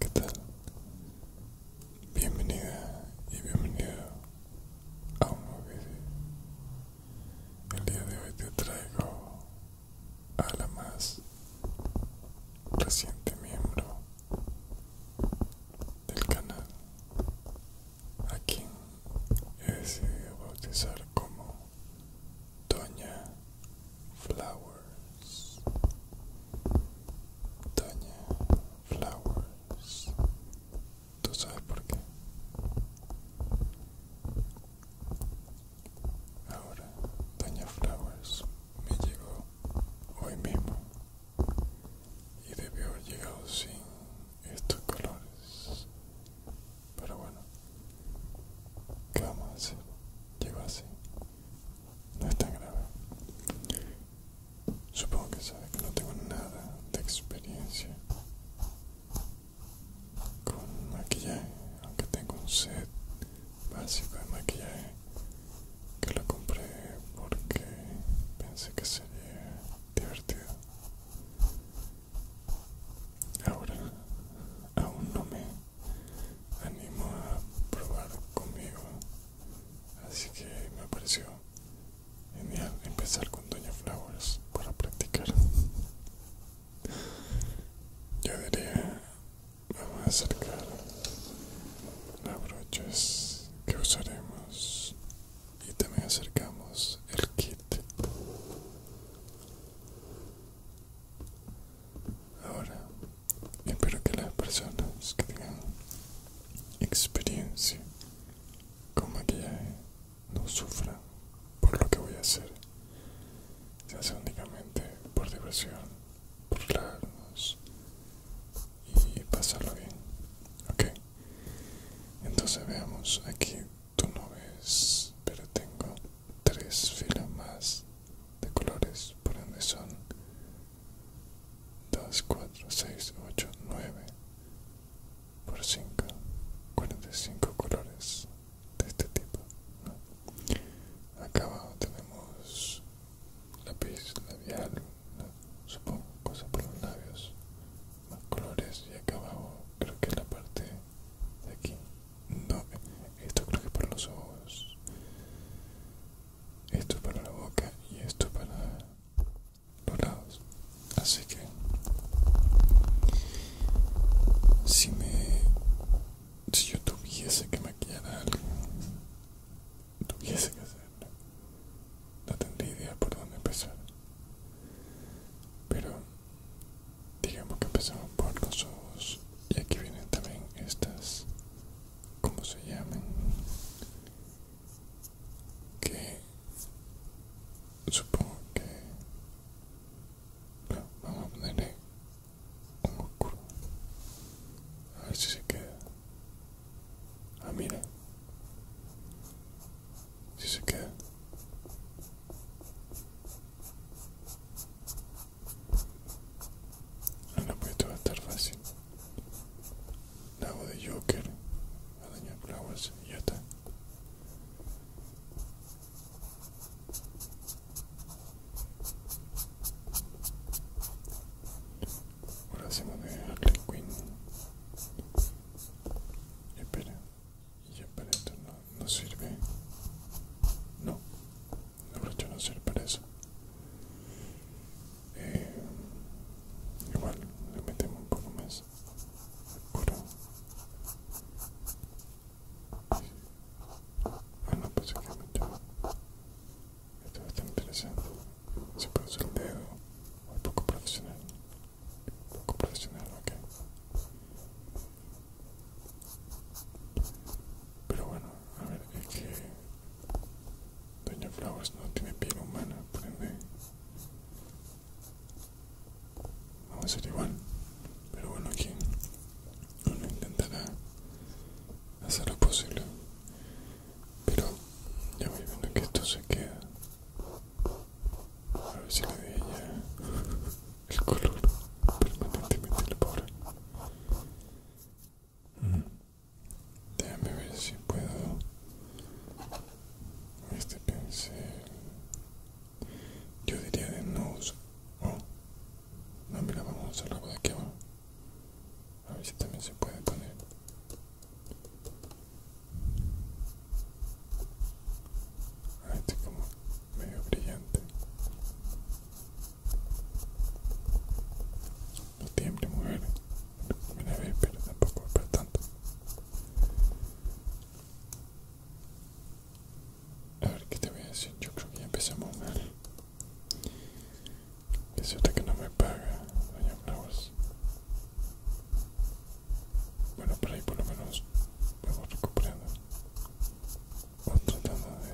¿Qué tal? Bienvenida y bienvenido a un nuevo video. El día de hoy te traigo a la más reciente miembro del canal a quien he decidido bautizar como Doña Flowers Doña Flowers ¿Tú sabes por qué? Ahora, Doña Flowers me llegó hoy mismo y debió haber llegado sin estos colores. Pero bueno, ¿qué vamos a hacer? Llegó así. No es tan grave. Supongo que sabe que no tengo nada de experiencia con maquillaje aunque tengo un set básico de maquillaje que lo compré porque pensé que sería divertido ahora aún no me animo a probar conmigo así que me pareció genial empezar con Doña Flowers para practicar yo diría vamos a acercar las brochas que usaremos y también acercamos el kit ahora espero que las personas que tengan experiencia con maquillaje no sufran por lo que voy a hacer se hace únicamente por diversión, por burlarnos y pasarlo bien. Ok, entonces veamos, aquí tú no ves, pero tengo tres filas más de colores, por ende son 2, 4, 6, 8, 9 por 5, 45 colores de este tipo acá abajo tenemos lápiz labial supongo cosas por los labios más colores y acá abajo creo que es la parte de aquí no esto creo que es para los ojos esto es para la boca y esto es para los lados así que si me si yo tuviese que maquillar a alguien, tuviese que hacerlo, no tendría idea por dónde empezar. Pero digamos que empezamos por los ojos y aquí vienen también estas, ¿cómo se llaman? Que supongo que vamos a ponerle un oscuro a ver si se queda ah mira si se queda ah no pues esto va a estar fácil la hago de Joker a la Flowers y ya está Ahora hacemos de Harley Queen. Espera, ya para esto no, sirve. No, la brocha no sirve para eso. Eh, igual le metemos un poco más. Puro. Bueno, pues aquí mucho. Esto es estar interesante. Se puede usar el dedo. O poco profesional. Poco profesional, ok. Pero bueno, a ver, es que Doña Flowers no tiene piel humana, por ende Vamos a hacer igual pero bueno aquí uno intentará hacer lo posible pero ya voy viendo que esto se queda a ver si le doy ya el color permanentemente la pobre mm. déjame ver si puedo este pincel yo diría de nose o... no mira vamos a voz de que va a ver si también se puede poner ah, este es como medio brillante no tiemble mujer primera ve pero tampoco es para tanto a ver qué te voy a decir. Yo creo que ya empezamos mal. cierto que no me paga, doña Flowers. Bueno, por ahí por lo menos vamos recuperando. O tratando de.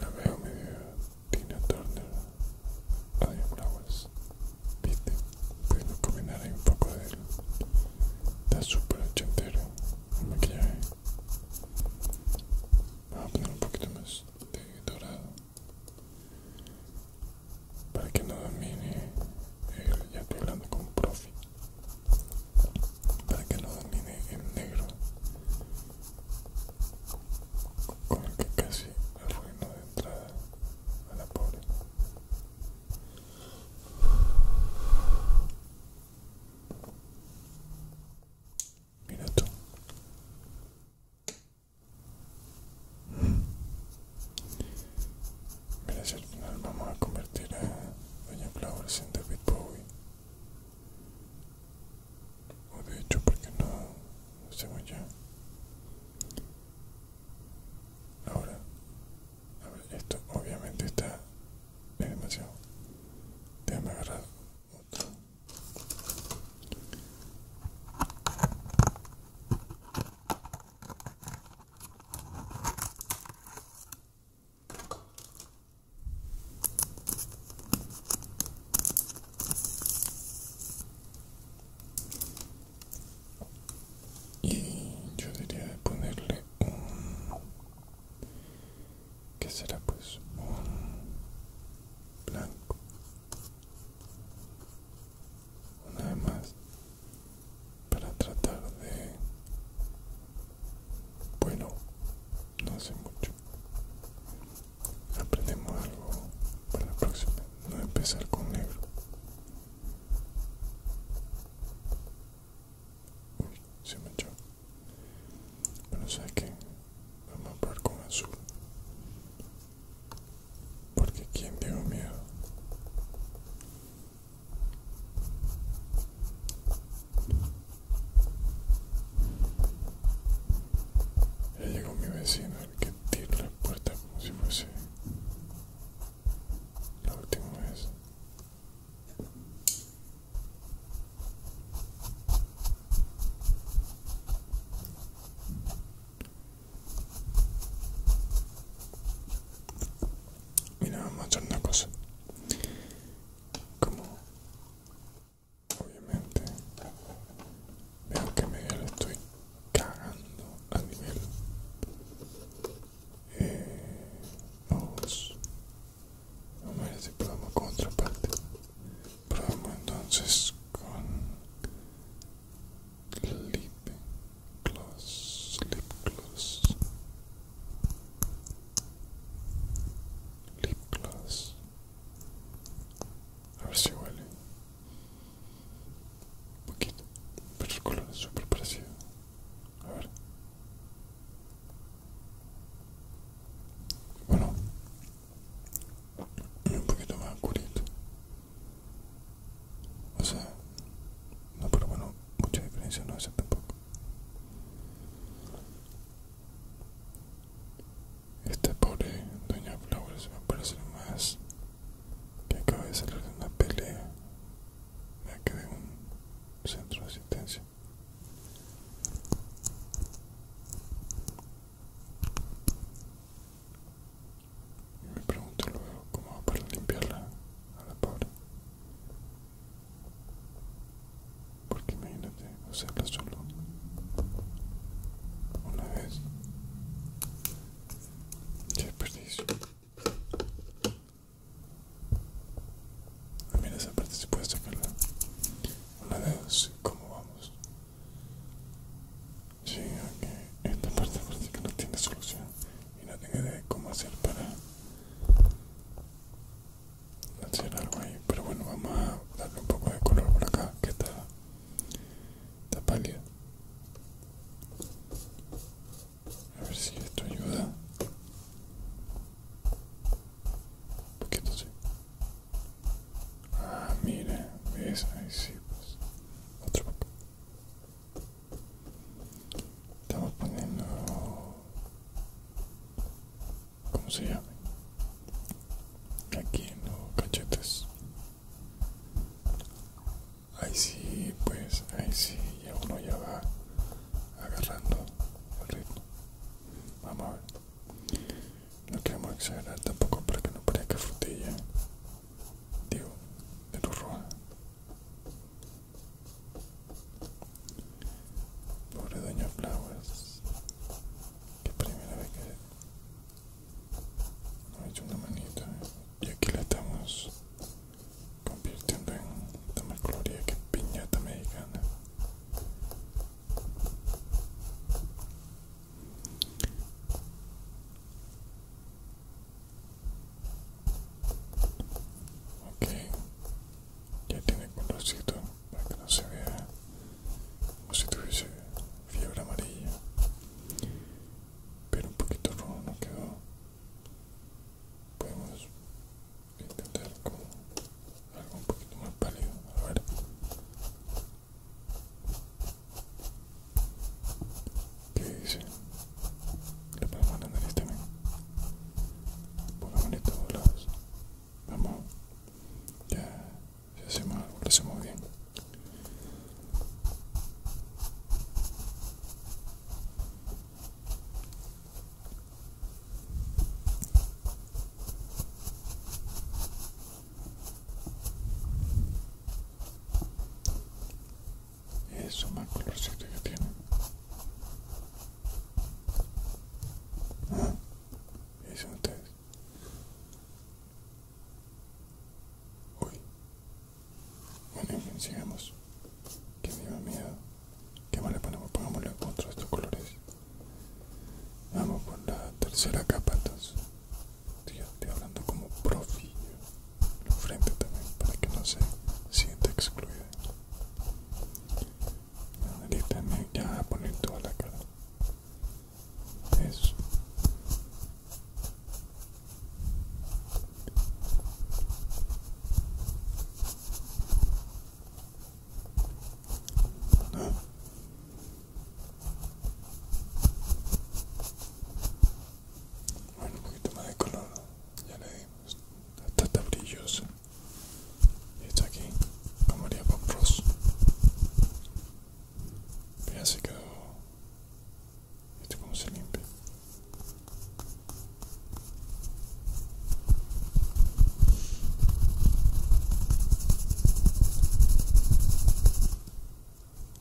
La veo medio Tina Turner. Adiós, Flowers. Viste, podemos combinar ahí un poco de él. Está súper ochentero el maquillaje. Vamos a poner un poquito más de dorado para que no domine el. Ya estoy hablando con un profi para que no domine el negro con el que casi arruinó de entrada a la pobre mira tú Mira si al final vamos a convertir a Doña Flowers en David Bowie. O de hecho, porque no, hacemos ya? Ahora, a ver, esto obviamente está es demasiado. Déjame agarrar otro y yo diría de ponerle un que será pues un blanco una vez más para tratar de bueno no hace mucho aprendemos algo para la próxima no empezar con negro uy se me echó bueno sabes que vamos a probar con azul porque quien dio miedo ya llegó mi vecino, el que tiró la puerta como si fuese la última vez. Mira, vamos a una cosa. Como obviamente veo que medio estoy cagando a nivel. Eh, vamos, vamos a ver si probamos con otra parte. Probamos entonces con Clip gloss, lip gloss, lip gloss. A ver si huele. Un poquito, pero el color es súper parecido. A ver. Bueno, un poquito más curito O sea, no, pero bueno, mucha diferencia no hace tampoco. Este pobre Doña Flowers va a parecer más que acaba de salir de una pelea, ya que de un centro de asistencia. Y me pregunto luego cómo va para limpiarla a la pobre. Porque imagínate hacerla solo una vez. desperdicio. Ah, mira esa parte, si puedes sacarla Una vez, ¿cómo vamos? Sí, aunque Esta parte parece no tiene solución y no tengo de cómo hacer para hacer algo ahí pero bueno vamos a darle un poco de color por acá que está está pálida a ver si esto ayuda porque poquito sí ah mira ves ahí sí pues otro poco Estamos poniendo... ¿Cómo se llama? Aquí en los cachetes. Ahí sí, pues, ahí sí, ya uno ya va agarrando el ritmo. Vamos a ver. No queremos exagerar tampoco para que no parezca frutilla. Digo, de luz roja. Pobre Doña Flowers, que primera vez que nos ha hecho una manita y aquí la estamos convirtiendo en la más que piñata mexicana ok ya tiene colorcito para que no se vea como si tuviese fiebre amarilla pero un poquito rojo no quedó podemos intentar con algo un poquito más pálido a ver ¿Qué dice? Le pegamos la nariz también. Pongámosle todos lados. Vamos. Ya. Si hacemos algo, lo hacemos bien. Eso más colorcito que tiene. dicen ah, ustedes. hoy Bueno, sigamos. Que me da miedo. ¿Qué más le ponemos? Pongámosle otro de estos colores. Vamos por la tercera capa entonces. Tío, estoy hablando como profi la frente también para que no se sienta excluida. Ahorita ya a poner toda la cara. Eso. ¿No? Bueno, un poquito más de color, ya le dimos. Hasta está brilloso Y está aquí, como María Bob Ross. Ya se quedó. Esto como se limpia.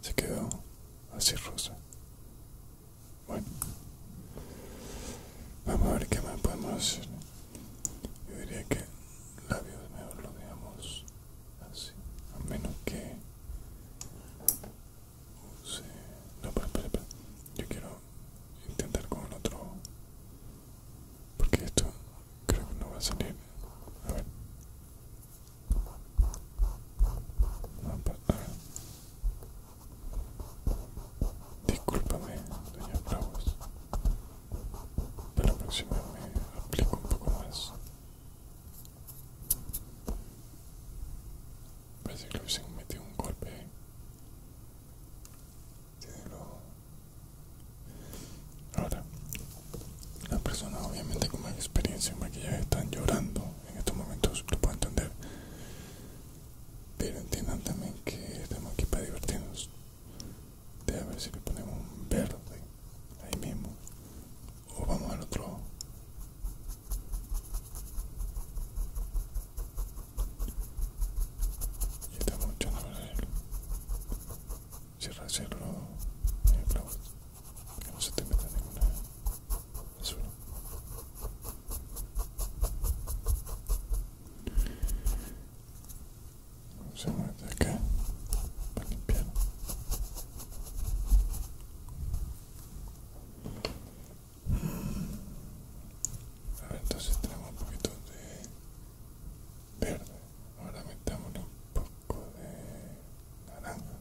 Se quedó así rosa. Bueno, vamos a ver qué más podemos hacer. Yo diría que labios mejor lo dejamos así, a menos que use. No, espera, Yo quiero intentar con el otro, porque esto creo que no va a salir. A ver, Disculpame, doña Bravos. Para la próxima me aplico un poco más. Parece que le hubiesen metido un golpe ¿eh? Ahora, las personas obviamente con más experiencia en maquillaje están llorando en estos momentos lo puedo entender pero entiendan también que estamos aquí para divertirnos de a ver si le ponemos un verde ahí mismo o vamos al otro y estamos echando a ver si cierra el que no se te meta ninguna no Vamos a mover de acá para limpiar. A entonces tenemos un poquito de verde. Ahora metámosle un poco de naranja.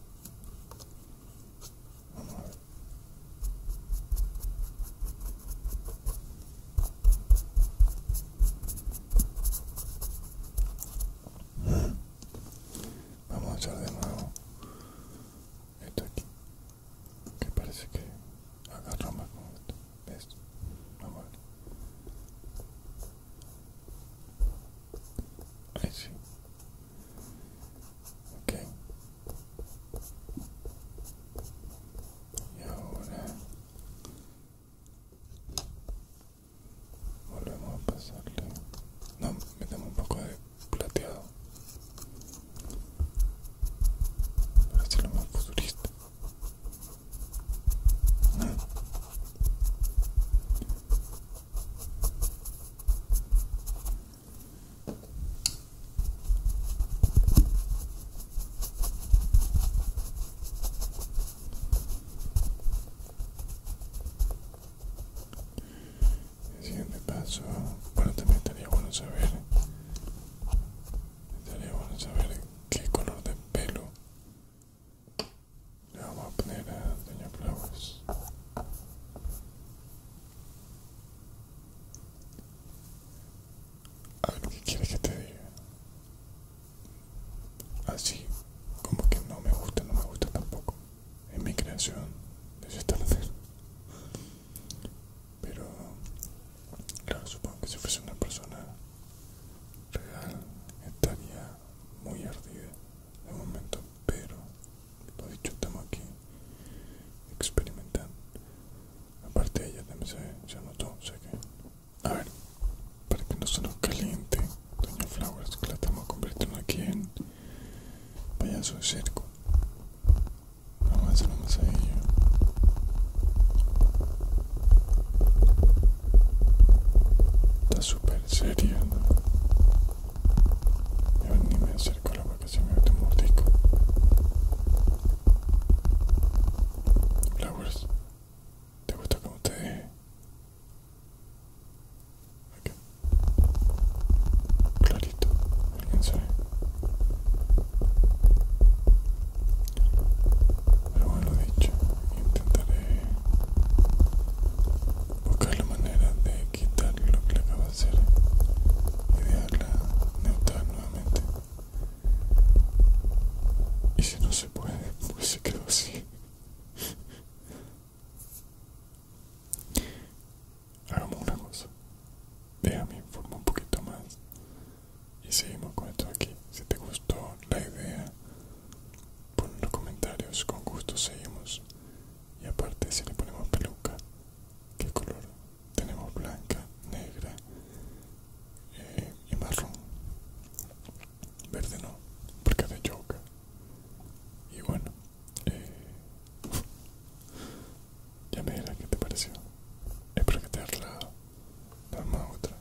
Vamos a echar de nuevo esto aquí, que parece que agarra más con esto. Vamos a ver. Ahí sí. Okay. Y ahora volvemos a pasarle. No, metemos un poco de plateado. Para hacerlo más futurista. El siguiente paso, bueno, también estaría bueno saber, estaría bueno saber qué color de pelo le vamos a poner a Doña Flowers. ver que quieres que te diga. Así como que no me gusta, no me gusta tampoco. En mi creación de esta Pero, claro, supongo que si fuese una persona real estaría muy ardida de momento, pero he dicho, estamos aquí experimentando. Aparte, ella también se, se anotó, o que. A ver, para que no se nos caliente, Doña Flowers, que la estamos convirtiendo aquí en payaso de cerco Vamos a hacer una ella Está súper seria, a ven, ni me acerco a la vacación, se me mete un mordisco Flowers, ¿te gusta como te dije? Clarito, ¿alguien sabe? Pero bueno, lo dicho, intentaré buscar la manera de quitar lo que le acaba de hacer y dejarla neutral nuevamente. Y si no se puede, pues se quedó así. Hagamos una cosa. Déjame informar un poquito más. Y seguimos con esto aquí. Si te gustó la idea Pon en los comentarios, con gusto seguimos. Y aparte si le ponemos peluca, ¿qué color? Tenemos blanca, negra eh, y marrón. Verde no, porque es de yoga. Y bueno, eh, ya me dirás qué te pareció. Espero que te haya otra.